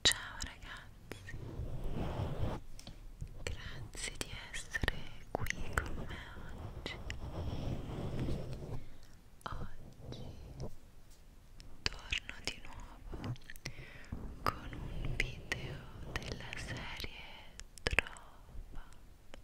Ciao ragazzi, grazie di essere qui con me oggi. Oggi torno di nuovo con un video della serie Trova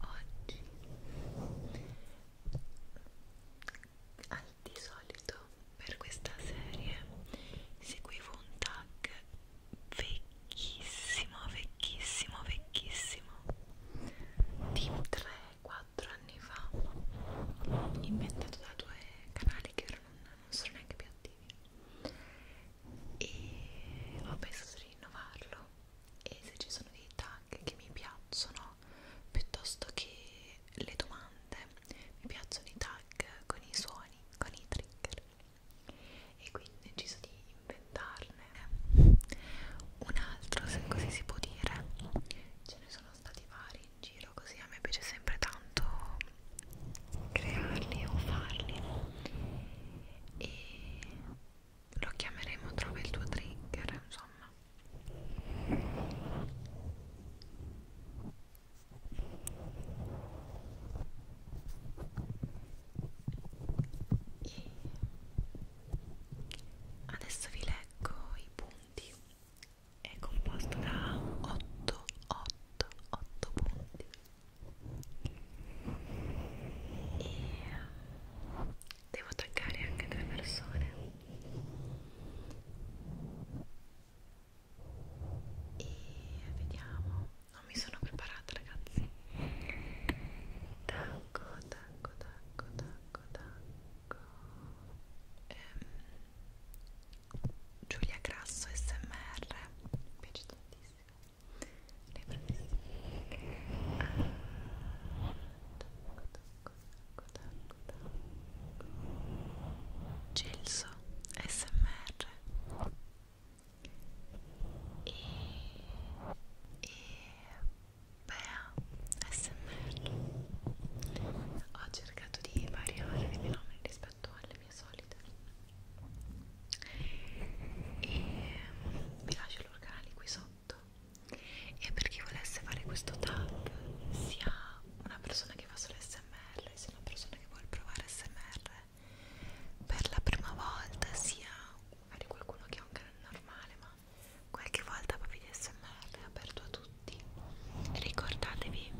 oggi al di solito per questa serie seguivo un tag vecchissimo vecchissimo vecchissimo di 3-4 anni fa inventato da due canali che ora non, non sono neanche più attivi e ho pensato di rinnovarlo e se ci sono dei tag che mi piacciono piuttosto che le domande mi piacciono i tag con i suoni, con i trigger e quindi ho deciso di inventarne un altro se così si può dire ce ne sono stati vari in giro così a me piace sempre tanto crearli o farli e lo chiameremo trova il tuo trigger insomma e adesso vi leggo i punti è composto da 8 8 8 punti e devo toccare anche tre persone e vediamo non mi sono preparata ragazzi tacco tacco tacco tacco tacco ehm, Giulia Grasso SMR mi piace tantissimo le Gelso SMR e, e Bea SMR ho cercato di variare i fenomeni rispetto alle mie solite e vi ehm, lascio loro canali qui sotto e per chi volesse fare questo tag sia una persona che fa solo smr sia una persona che vuole provare smr per la prima volta sia magari qualcuno che ha un canale normale ma qualche volta proprio di smr è aperto a tutti ricordatevi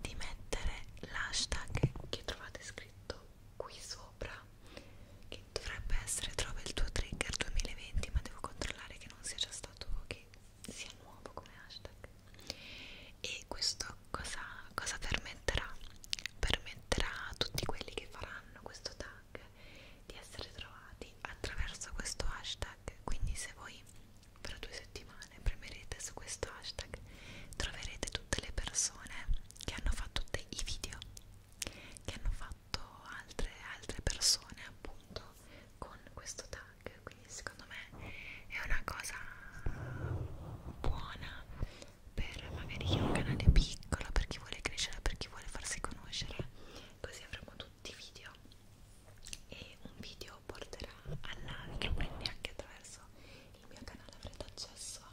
di mettere l'hashtag che trovate scritto qui sopra che dovrebbe essere trova il tuo trigger 2020 ma devo controllare che non sia già stato che sia nuovo come hashtag e questo cosa, cosa permetterà? permetterà a tutti quelli che faranno questo tag di essere trovati attraverso questo hashtag quindi se voi per due settimane premerete su questo hashtag troverete tutte le persone che hanno fatto i video che hanno fatto altre, altre persone appunto con questo tag quindi secondo me è una cosa buona per magari chi ha un canale piccolo per chi vuole crescere per chi vuole farsi conoscere così avremo tutti i video e un video porterà all'altro quindi anche attraverso il mio canale avrete accesso a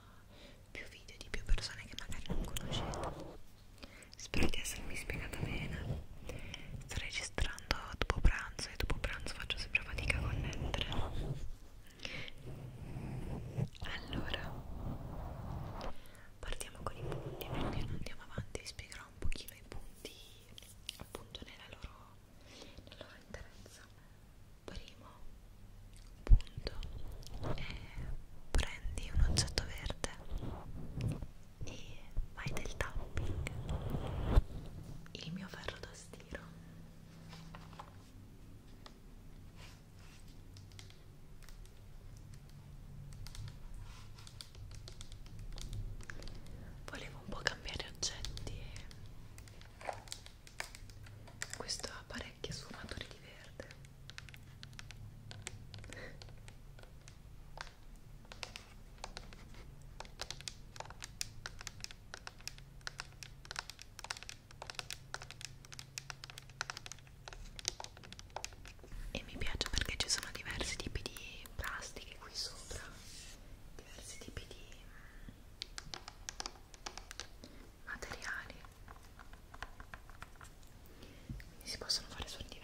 più video di più persone che magari non conoscete spero di essermi spiegata bene sto registrando dopo pranzo e dopo pranzo faccio sempre fatica a connettere allora partiamo con i punti perché non andiamo avanti vi spiegherò un pochino i punti appunto nella loro, nella loro interezza primo punto e prendi un oggetto verde e fai del tapping il mio ferro da stiro volevo un po' cambiare oggetti e questo appare parecchie sfumature di verde e mi piace perché ci sono diversi tipi di plastiche qui sopra diversi tipi di mm, materiali quindi si possono fare suoni diversi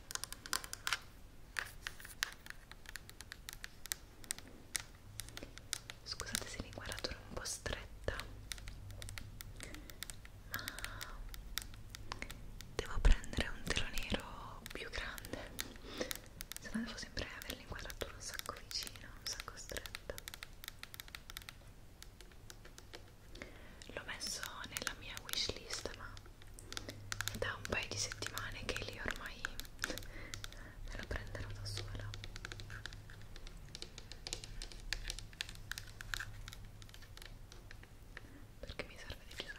Scusate se l'inquadratura è un po' stretta, ma devo prendere un telo nero più grande, se no devo sempre avere l'inquadratura un sacco vicina, un sacco stretta l'ho messo nella mia wishlist ma è da un paio di settimane che lì ormai me lo prenderò da sola perché mi serve decisamente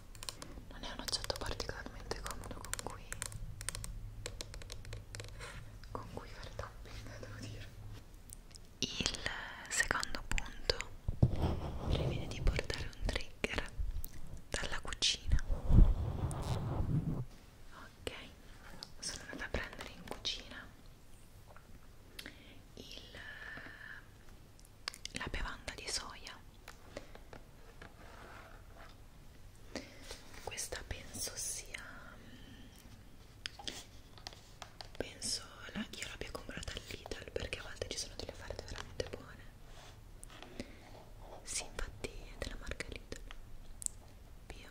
non è un oggetto particolarmente comodo con cui con cui fare tapping devo dire il secondo punto previene di portare un trigger dalla cucina ok sono andata a prendere in cucina il la bevanda di soia questa penso sia mm, penso la, io l'abbia comprata all'Ital perché a volte ci sono delle offerte veramente buone sì infatti è della marca Lidl via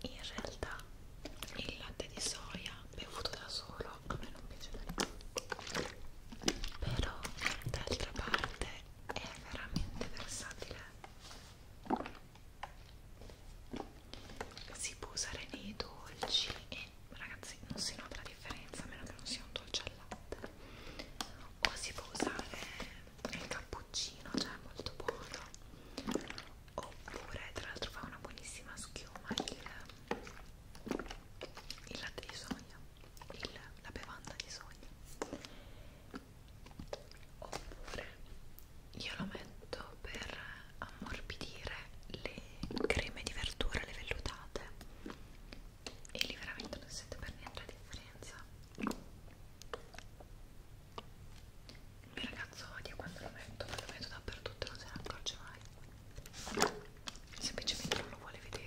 in realtà il latte di soia bevuto da solo a me non piace però d'altra parte è veramente versatile si può usare nei dolci e ragazzi non si nota la differenza a meno che non sia un dolce al latte o si può usare è il cappuccino, cioè è molto buono oppure tra l'altro fa una buonissima schiuma il, il latte di soia il, la bevanda di soia oppure io lo metto per ammorbidire le creme di verdura, le vellutate e lì veramente non si sente per niente la differenza il mio ragazzo odia quando lo metto, ma lo metto dappertutto e non se ne accorge mai. Semplicemente non lo vuole vedere.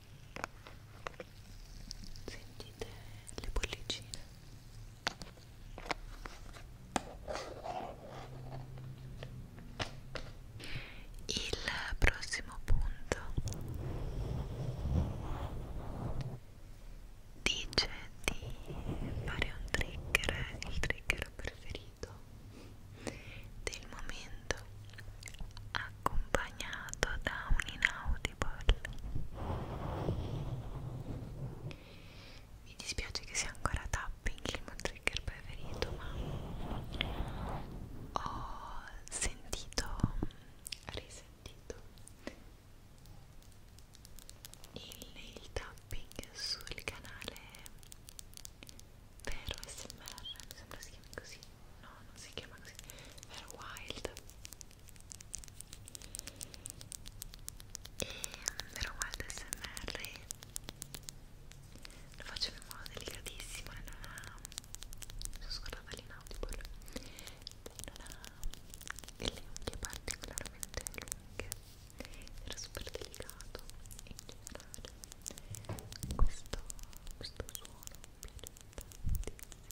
sentite le bollicine il prossimo punto dice di fare un trigger il trigger preferito del momento a accompagnato da un inaudible mi dispiace che sia ancora tapping il mio trigger preferito ma ho sentito risentito il, il tapping sul canale vero SMR mi sembra si chiami così no non si chiama così vero wild e però guarda smr lo faccio in modo delicatissimo e non ha mi sono scordata l'inaudible non ha delle unghie particolarmente lunghe era super delicato e in generale questo, questo suono mi piace tantissimo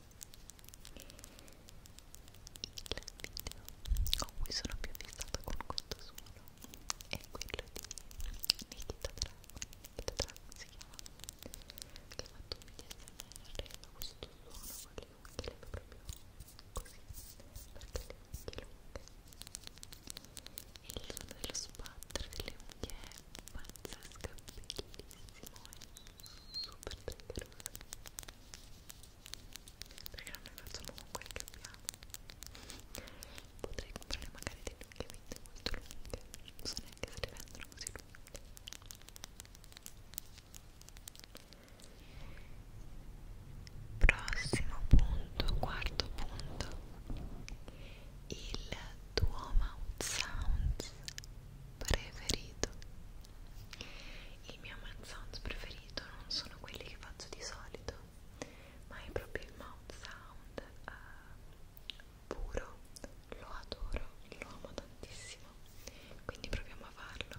video con cui sono più fissata con questo suono è quello di Nikita Dragon Nikita Dragon si chiama che ha fatto un video ASMR da questo suono con le unghie proprio così perché le unghie lunghe e il suono dello spatter delle unghie è pazzesca, bellissimo e eh. super triggerosa perché noi facciamo con quel che abbiamo potrei comprare magari dei lunghi molto lunghi non so neanche se li vendono così lunghi Prossimo punto, quarto punto, il Duomo Sounds preferito il mio mouth sounds preferito non sono quelli che faccio di solito ma è proprio il mouth sound uh, puro lo adoro, lo amo tantissimo quindi proviamo a farlo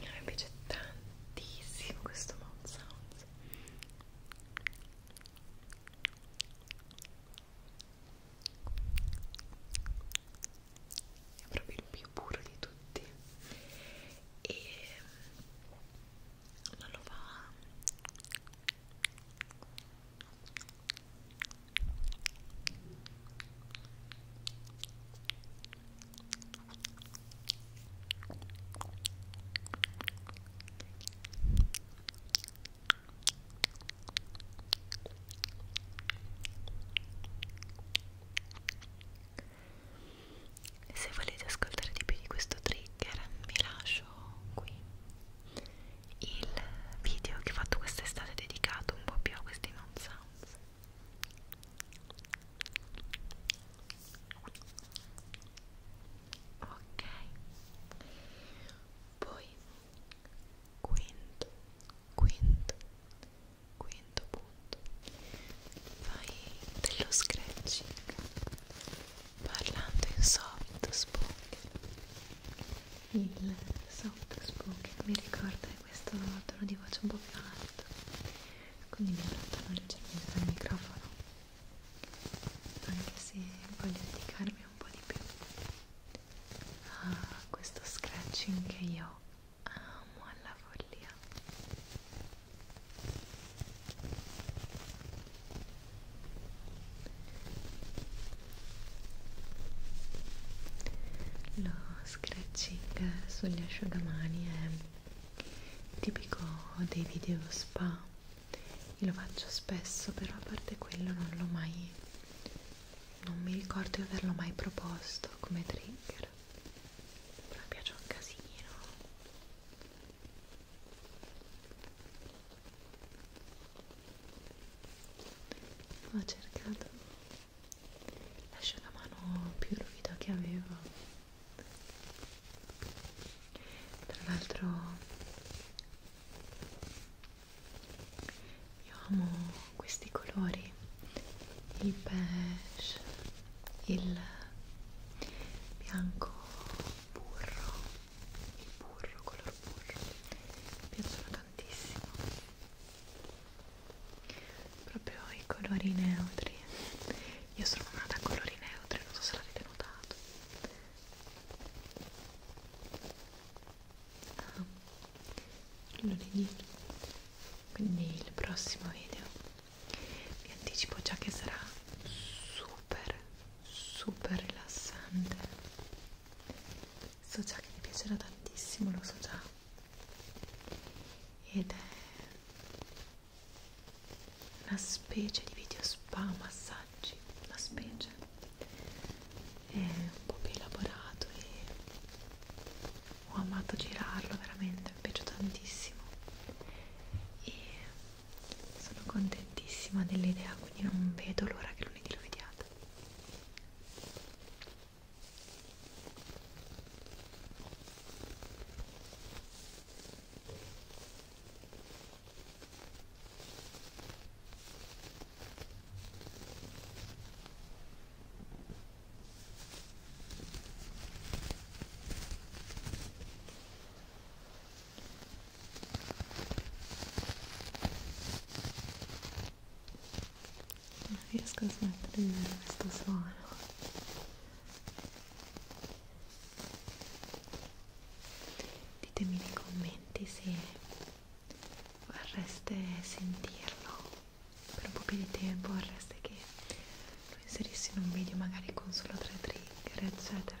mi piace tantissimo questo mouth sounds è proprio il più puro di tutti e mm, non lo fa se volete ascoltare di più di questo trigger, vi lascio qui il video che ho fatto quest'estate dedicato un po' più a questi non sounds ok poi quinto quinto quinto punto fai dello scratching parlando in soft spoken il soft spoken mi ricorda questo tono di voce un po' più alto quindi mi allontano leggermente dal microfono anche se voglio dedicarmi un po' di più a questo scratching che io amo alla follia lo scratching sugli asciugamani è tipico dei video spa, io lo faccio spesso, però a parte quello non l'ho mai, non mi ricordo di averlo mai proposto come trigger, però mi piace un casino ho cercato l'asciugamano più ruvido che avevo tra l'altro io amo questi colori il beige il bianco burro il burro, color burro mi piacciono tantissimo proprio i colori neutri io sono una da colori neutri, non so se l'avete notato ah, lunedì quindi il prossimo video vi anticipo già che sarà super super rilassante so già che vi piacerà tantissimo, lo so già ed è una specie di video spa massaggi, una specie è un po' più elaborato e ho amato girarlo veramente, mi è piaciuto tantissimo e sono contentissima dell'idea quindi non vedo l'ora che lo lunedì lo vediate non riesco a smettere di vedere questo suono ditemi nei commenti se vorreste sentirlo per un po' più di tempo vorreste che lo inserissi in un video magari con solo tre trigger eccetera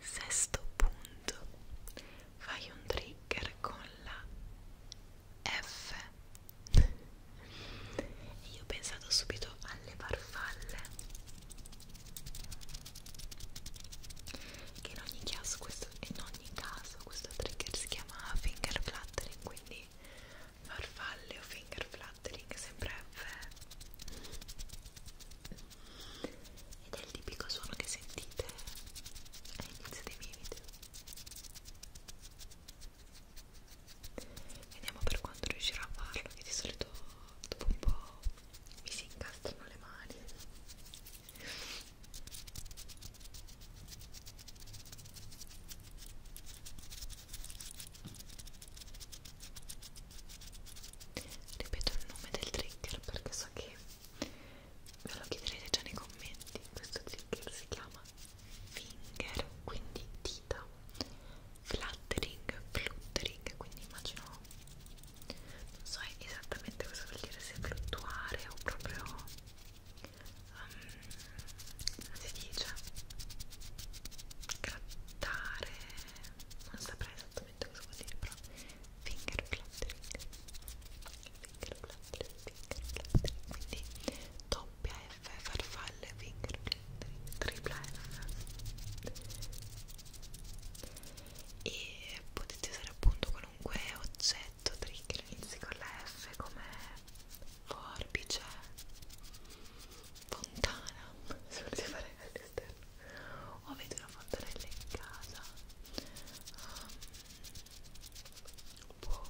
Sesto punto, fai un trigger con la F. Io ho pensato subito alle farfalle, che in ogni caso questo, in ogni caso questo trigger si chiama finger fluttering, quindi farfalle o finger fluttering sempre F ed è il tipico suono che sentite all'inizio dei miei video vediamo per quanto riuscirò a farlo che di solito dopo un po' mi si incastrano le mani ripeto il nome del trigger perché so che ve lo chiederete già nei commenti questo zigger si chiama finger quindi dita fluttering fluttering quindi immagino non so esattamente cosa vuol dire se fluttuare o proprio um, si dice grattare non saprei esattamente esattamente cosa vuol dire però finger cluttering finger cluttering, finger cluttering quindi doppia F farfalle finger cluttering tripla F e potete usare appunto qualunque oggetto trigger inizi con la F come forbice fontana se volete fare all'esterno o oh, avete una fontanella in casa um, boh.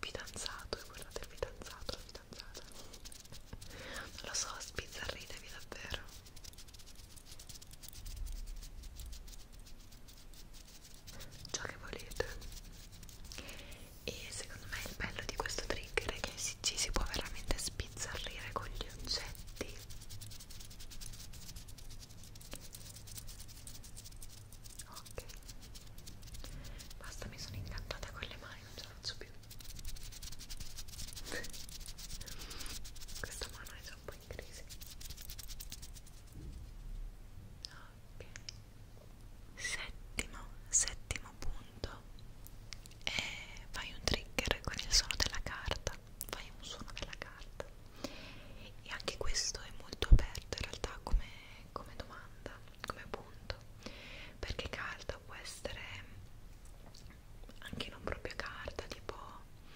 fidanzato e guardate il fidanzato la fidanzata non lo so sbizzarritevi davvero ciò che volete e secondo me il bello di questo trigger è che è si, ci si può veramente spizzarrire con gli oggetti ok basta mi sono incantata con le mani non ce la faccio più questa mano è già un po' in crisi ok settimo settimo punto fondo e fai un trigger con il suono della carta fai un suono della carta e anche questo è molto aperto in realtà come, come domanda come punto perché carta può essere anche non proprio carta tipo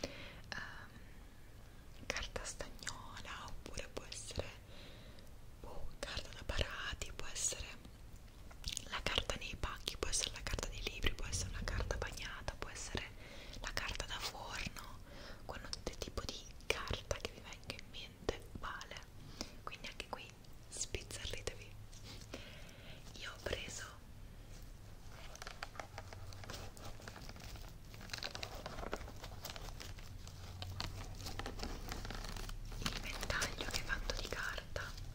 um, carta stagnola oppure può essere boh, carta da parati può essere la carta nei pacchi può essere la carta dei libri, può essere una carta bagnata, può essere la carta da forno, qualunque tipo di carta che vi venga in mente vale. Quindi anche qui spizzarritevi. Io ho preso il ventaglio che è fatto di carta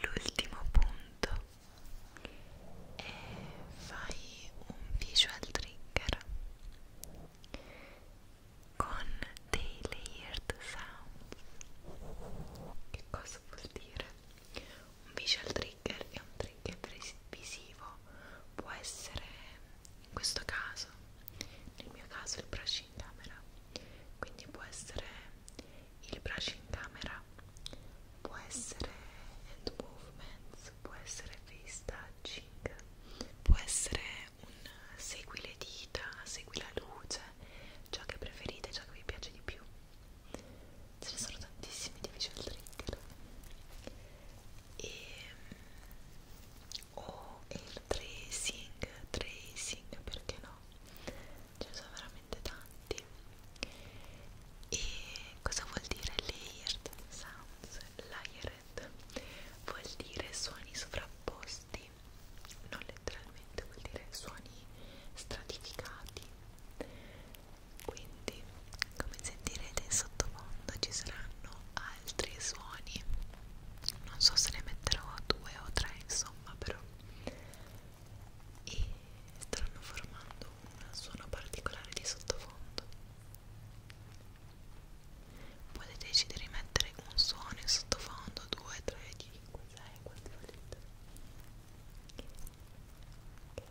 L'ultimo punto è fai un visual trigger con dei layered sounds. Che cosa vuol dire? Un visual trigger è un trigger visivo, può essere in questo caso nel mio caso il brush in camera quindi può essere il brush in camera può essere hand movements può essere face touching può essere un segui le dita segui la luce ciò che preferite ciò che vi piace di più ce ne sono tantissimi di visual trigger e o il tracing, tracing perché no? Ce ne sono veramente tanti. E cosa vuol dire layered sounds? Layered vuol dire suoni sovrapposti, non letteralmente, vuol dire suoni stratificati. Quindi, come sentirete in sottofondo ci saranno altri suoni non so se ne metterò due o tre insomma però e stanno formando un suono particolare di sottofondo potete decidere di mettere un suono in sottofondo 2, 3, 5, 6, quanti volete Okay.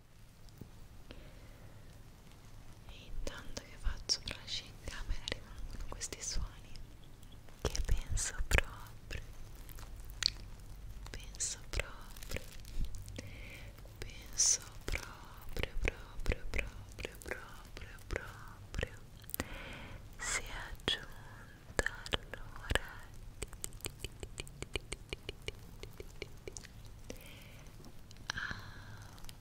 E intanto che faccio brush in camera rimangono questi suoni che penso proprio, penso proprio, penso proprio, proprio, proprio, proprio, proprio, si è aggiunta allora a ah,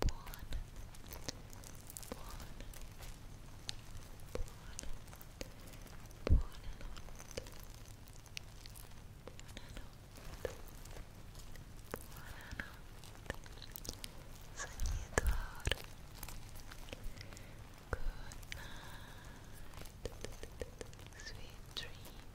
Blonde, Good night, sweet dreams.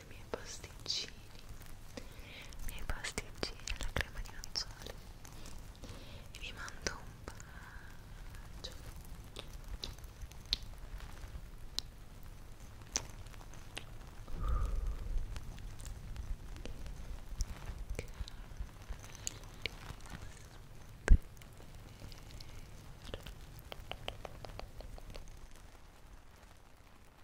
fatto i miei pasticcini i miei pasticcini alla crema di nocciole e vi mando un bacio Carissimo.